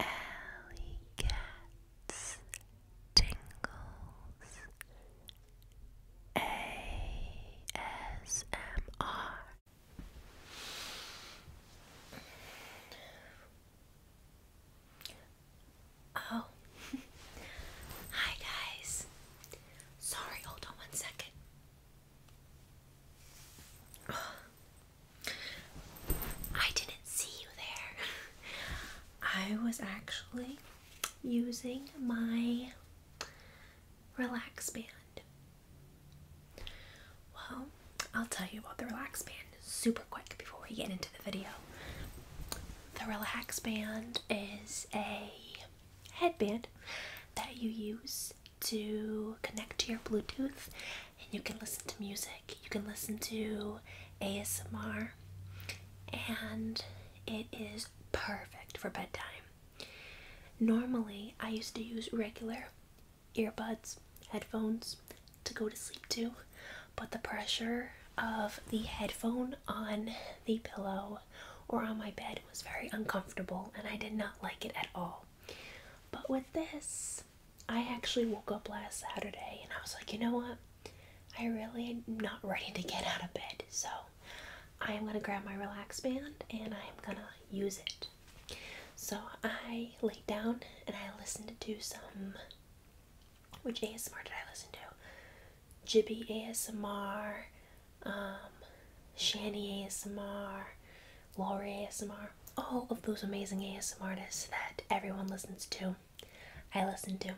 Alley Cats Tingles ASMR Oh Hi guys Sorry hold on one second I didn't see you there. I was actually using my relax band. Well, I'll tell you about the relax band super quick before we get into the video. The relax band is a headband that you use to connect to your Bluetooth and you can listen to music, you can listen to ASMR, and it is perfect for bedtime. Normally, I used to use regular earbuds, headphones to go to sleep to, but the pressure of the headphone on the pillow or on my bed was very uncomfortable and I did not like it at all. But with this, I actually woke up last Saturday and I was like, you know what? I really am not ready to get out of bed. So I am going to grab my relax band and I am going to use it. So I laid down and I listened to some. Which ASMR did I listen to? Jibby ASMR, um, Shani ASMR, Laurie ASMR, all of those amazing ASMR artists that everyone listens to. I listen to.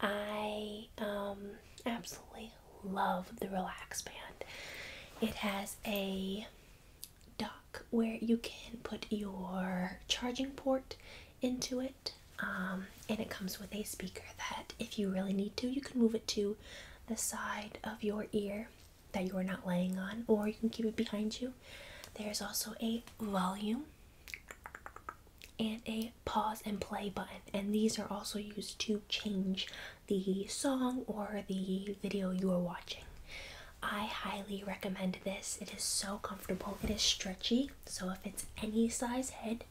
I um, absolutely love the Relax Band. It has a dock where you can put your charging port into it, um, and it comes with a speaker that, if you really need to, you can move it to the side of your ear that you are not laying on, or you can keep it behind you. There's also a volume and a pause and play button, and these are also used to change the song or the video you are watching. I highly recommend this. It is so comfortable. It is stretchy, so if it's any size head,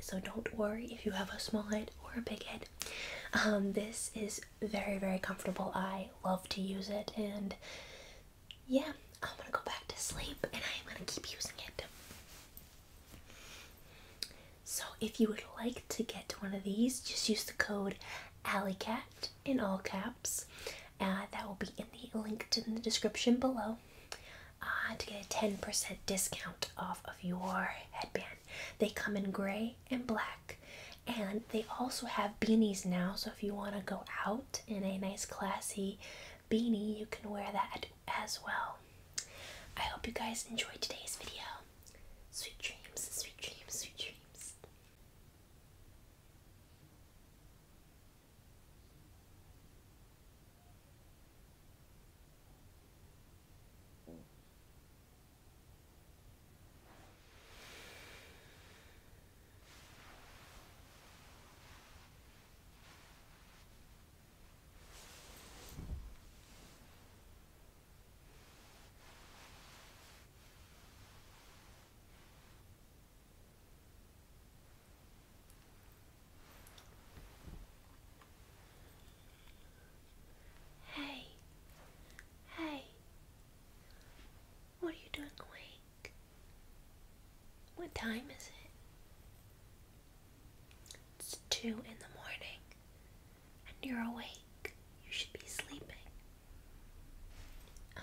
so don't worry if you have a small head or a big head. Um, this is very, very comfortable. I love to use it, and yeah, I'm gonna go back to sleep and I'm gonna keep using it. So, if you would like to get one of these, just use the code AlleyCat in all caps. and uh, that will be in the link in the description below uh, to get a 10% discount off of your headband. They come in gray and black, and they also have beanies now so if you want to go out in a nice classy beanie you can wear that as well i hope you guys enjoyed today's video sweet dreams sweet dreams sweet dreams Hey, hey, what are you doing awake? What time is it? It's two in the morning, and you're awake. You should be sleeping. I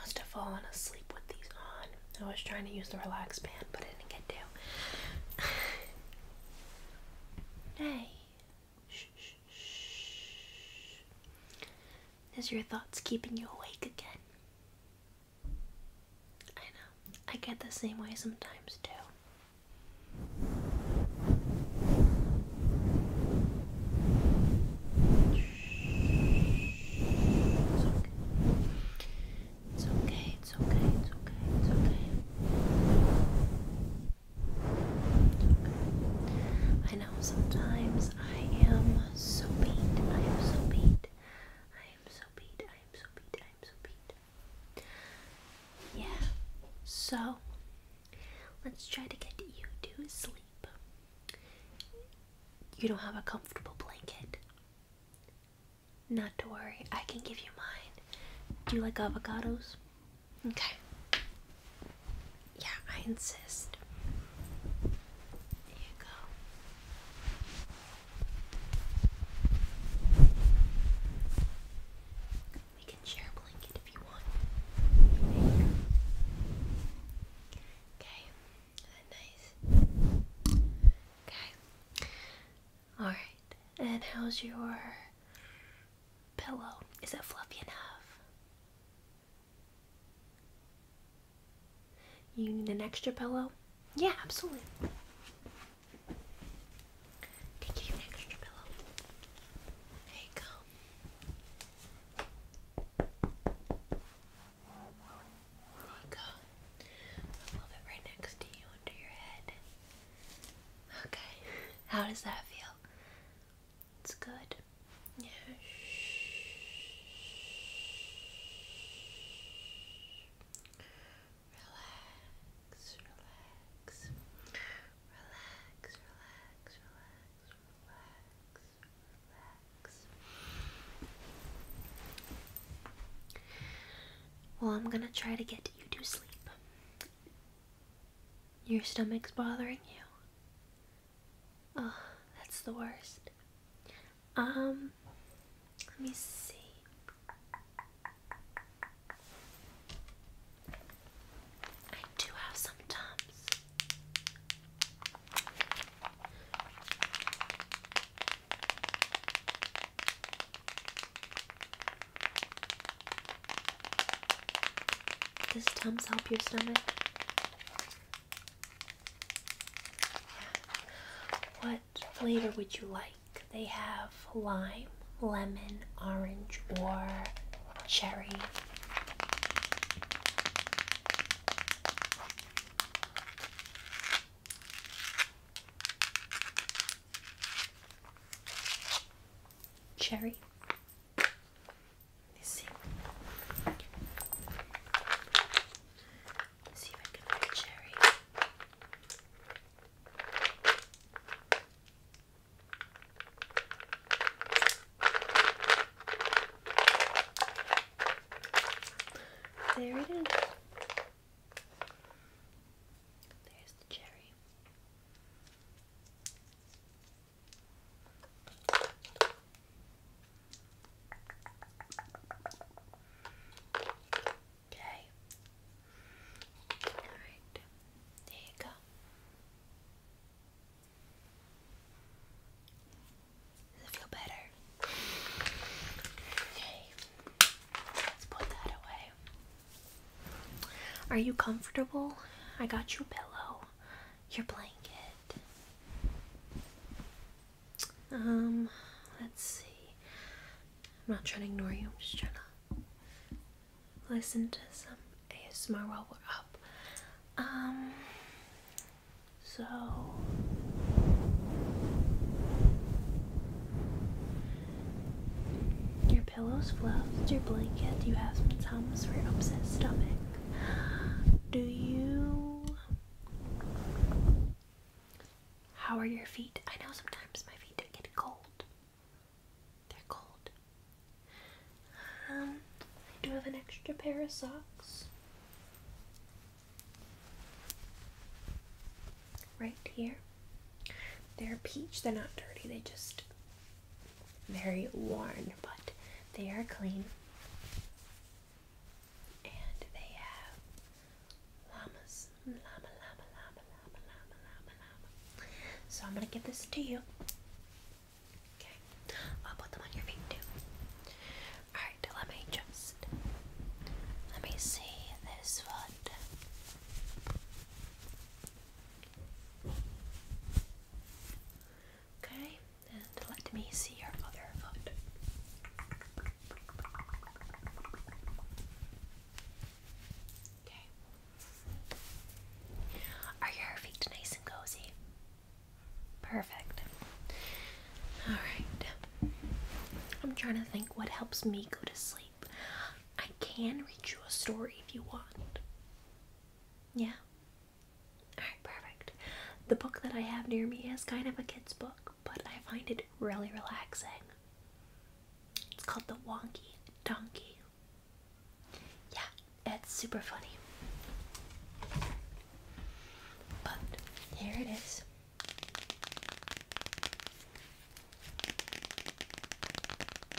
must have fallen asleep with these on. I was trying to use the relax band, but I didn't get to. hey, is your thoughts keeping you awake again? I know. I get the same way sometimes, too. It's okay. It's okay. It's okay. It's okay. I know sometimes I am so beat. I am so beat. I am so beat. I am so beat. I am so beat. Yeah. So let's try to get you to sleep. You don't have a comfortable blanket. Not to worry. I can give you mine. Do you like avocados? Okay. Yeah, I insist. There you go. We can share a blanket if you want. okay, nice. Okay. Alright, and how's your pillow. Is it fluffy enough? You need an extra pillow? Yeah, absolutely. Take you extra pillow. There you go. There you go. I'll move it right next to you under your head. Okay, how does that feel? It's good. Yeah. relax, relax, relax, relax, relax, relax. Well, I'm gonna try to get you to sleep. Your stomach's bothering you. Oh, that's the worst. Um, let me see. I do have some Tums. Does Tums help your stomach? What flavor would you like? They have lime, lemon, orange, or cherry cherry. Let me see. see if I can get cherry. There it is. There's the cherry. Okay. All right. There you go. Does it feel better? Okay. Let's put that away. Are you comfortable? I got you a pillow, your blanket. Um, let's see. I'm not trying to ignore you, I'm just trying to listen to some ASMR while we're up. Um, so your pillow's fluffed, your blanket, you have some towels for your upset stomach. Do you. How are your feet? I know sometimes my feet get cold. They're cold. Um, I do have an extra pair of socks. Right here. They're peach, they're not dirty, they just very worn, but they are clean. And they have llamas. Llama, llama, llama, llama, llama, llama, llama. So I'm going to give this to you. Okay. I'll put them on your feet too. Alright, let me just. Let me see this foot. Okay, and let me see your other foot. Okay. Are your feet nice and cozy? Perfect. Alright. I'm trying to think what helps me go to sleep. I can read you a story if you want. Yeah. Alright, perfect. The book that I have near me is kind of a kid's book, but I find it really relaxing. It's called The Wonky Donkey. Yeah, it's super funny. But here it is.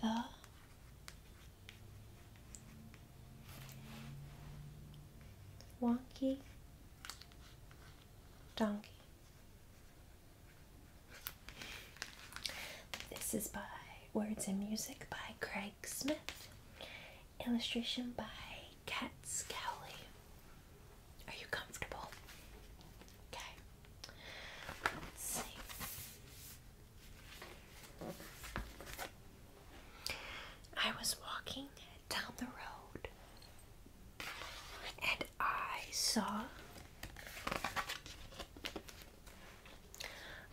the wonky donkey. This is by Words and Music by Craig Smith, illustration by Kat Scowley. Are you comfortable? Okay. Let's see. I was walking down the road and I saw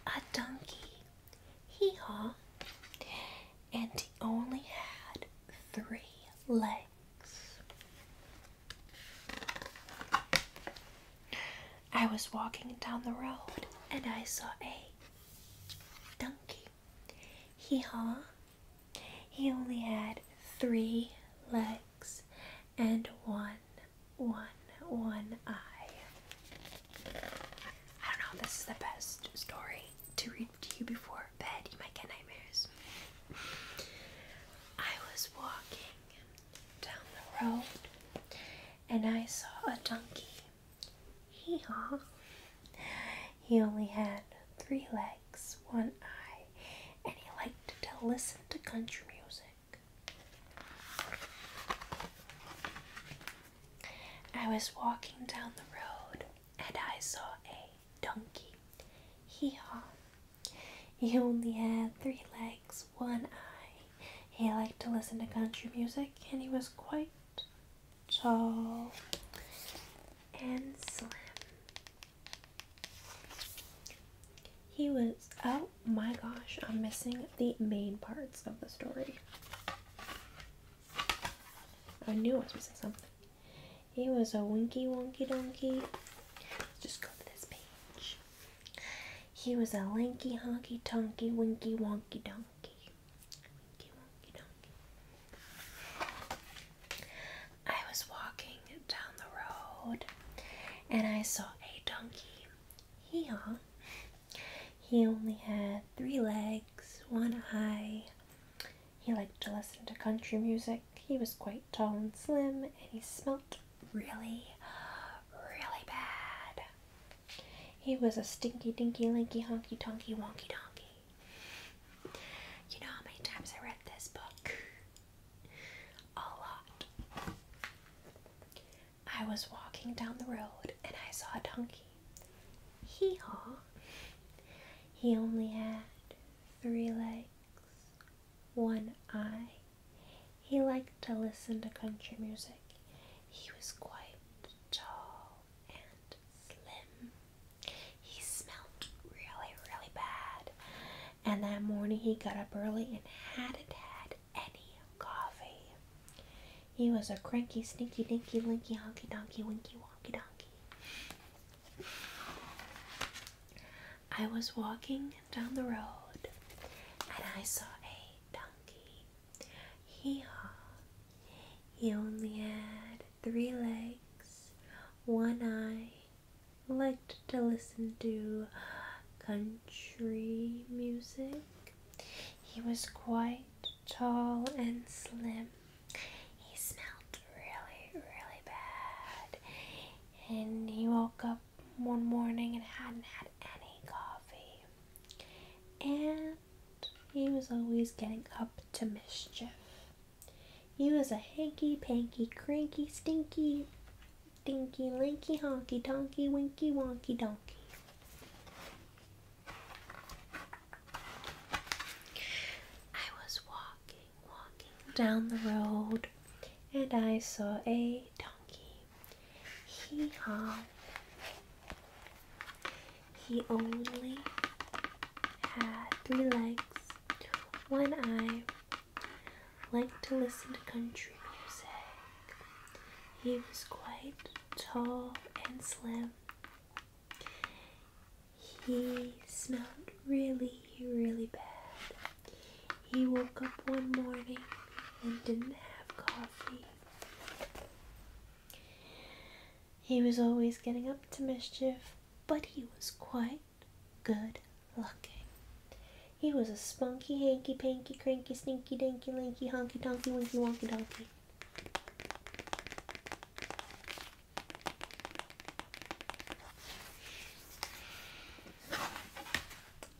a donkey hee haw, and he only had three legs. I was walking down the road and I saw a donkey. Hee haw. He only had three legs and one, one, one eye. I don't know this is the best story to read to you before bed, you might get nightmares. I was walking down the road and I saw a donkey. Hee haw. He only had three legs, one eye, and he liked to listen to country music. I was walking down the road and I saw a donkey. Hee haw! He only had three legs, one eye. He liked to listen to country music, and he was quite tall and slim. He was, oh my gosh, I'm missing the main parts of the story. I knew I was missing something. He was a winky wonky donkey. Let's just go to this page. He was a lanky honky tonky winky wonky donkey. Winky wonky donkey. I was walking down the road and I saw a donkey. Hee He only had three legs, one eye, he liked to listen to country music. He was quite tall and slim, and he smelt really, really bad. He was a stinky, dinky, linky, honky, tonky, wonky, donkey. You know how many times I read this book? A lot. I was walking down the road and I saw a donkey. Hee haw. He only had three legs, one eye. He liked to listen to country music. He was quite tall and slim. He smelt really, really bad. And that morning he got up early and hadn't had any coffee. He was a cranky, sneaky, dinky, linky, honky, donkey, winky, wonky, donkey. I was walking down the road and I saw a donkey. Hee haw! He only had three legs, one eye, liked to listen to country music. He was quite tall and slim. He smelled really, really bad. And he woke up one morning and hadn't had any coffee. And he was always getting up to mischief. He was a hanky panky, cranky, stinky, dinky, linky, honky, donkey, winky, wonky, donkey. I was walking walking down the road, and I saw a donkey. Hee haw. He only had three legs, one eye, Like to listen to country music. He was quite tall and slim. He smelled really, really bad. He woke up one morning and didn't have coffee. He was always getting up to mischief, but he was quite good looking. He was a spunky, hanky, panky, cranky, stinky, dinky, linky, honky, tonky, winky, wonky, donkey.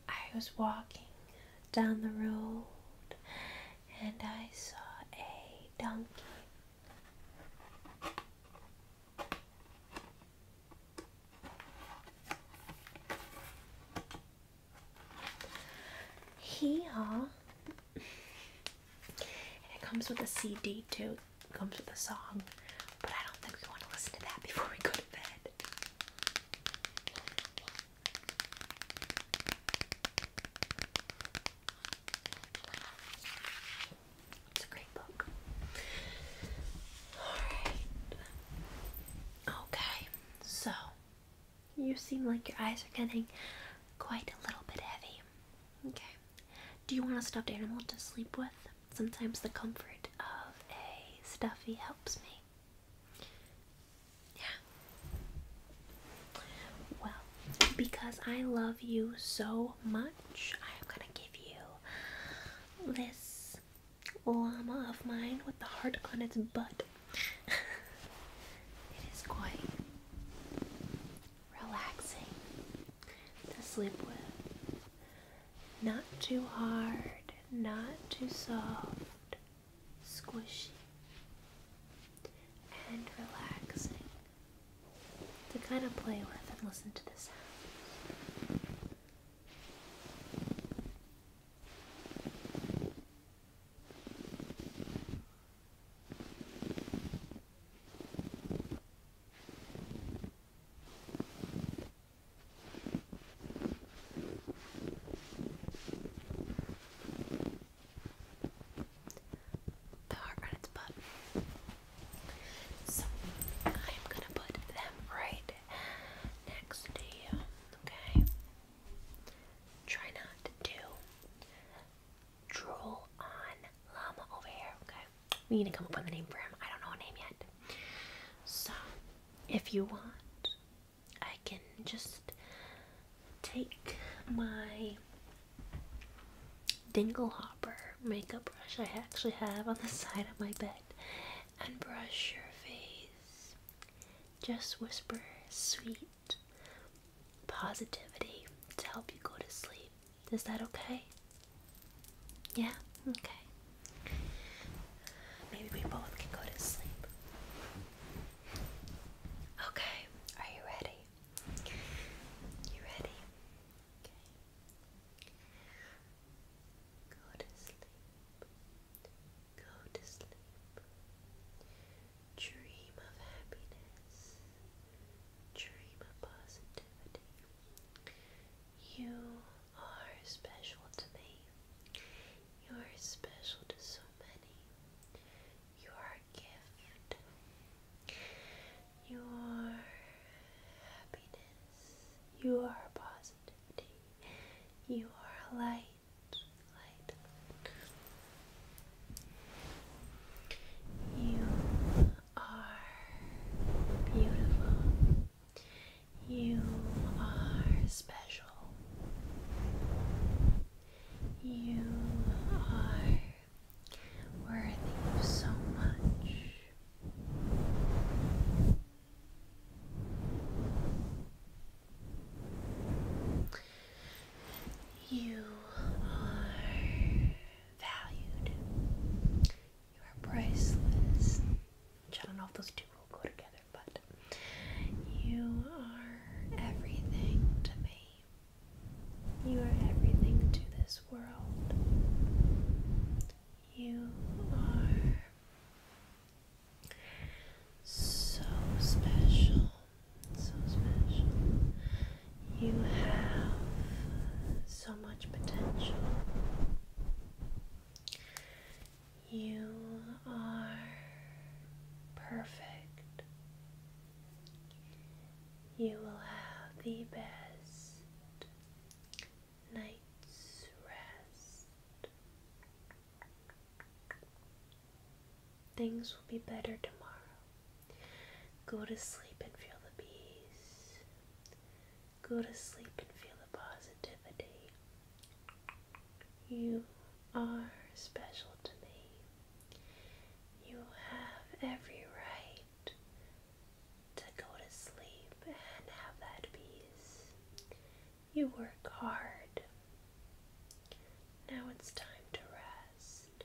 I was walking down the road and I saw a donkey. Here uh, and it comes with a CD too. It comes with a song, but I don't think we want to listen to that before we go to bed. It's a great book. Alright. Okay, so you seem like your eyes are getting quite a little bit heavy. Okay. Do you want a stuffed animal to sleep with? Sometimes the comfort of a stuffy helps me. Yeah. Well, because I love you so much, I'm gonna give you this llama of mine with the heart on its butt. it is quite relaxing to sleep with. Not too hard, not too soft, squishy and relaxing to kind of play with and listen to the sounds. The heart on its butt. So I'm gonna put them right next to you. Okay. Try not to drool on llama over here. Okay we need to come up with a name for him. I don't know a name yet. So, if you want, I can just take my dingle hopper makeup brush I actually have on the side of my bed and brush your face. Just whisper sweet positivity to help you go to sleep. Is that okay? Yeah? Okay. Maybe we both can go to sleep. Okay, are you ready? You ready? Okay. Go to sleep. Go to sleep. Dream of happiness. Dream of positivity. You are special to me. You are special to so many. You are a gift. You are happiness. You are positivity. You are light. Light. You are beautiful. You are special. You are worthy so much. You are valued. You are priceless. Which I don't know if those two will go together, but you are everything to me. You are everything to this world. You are so special. So special. You have so much potential. You are perfect. You will have the best night's rest. Things will be better tomorrow. Go to sleep and feel the peace Go to sleep and feel the positivity. You are special to me. You have every right to go to sleep and have that peace. You work hard. Now it's time to rest.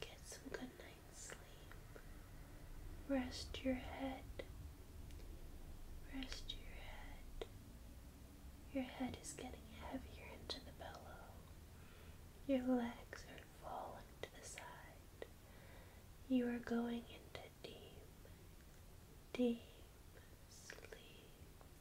Get some good night's sleep. Rest your head. Rest your head. Your head is getting heavier into the pillow. Your legs are falling to the side. You are going into deep, deep sleep. Good night,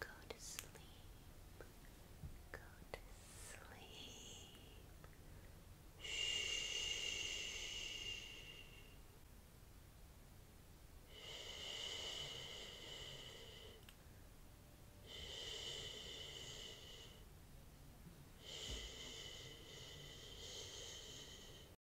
Go to sleep. Go to sleep. Shh. Shh. Shh.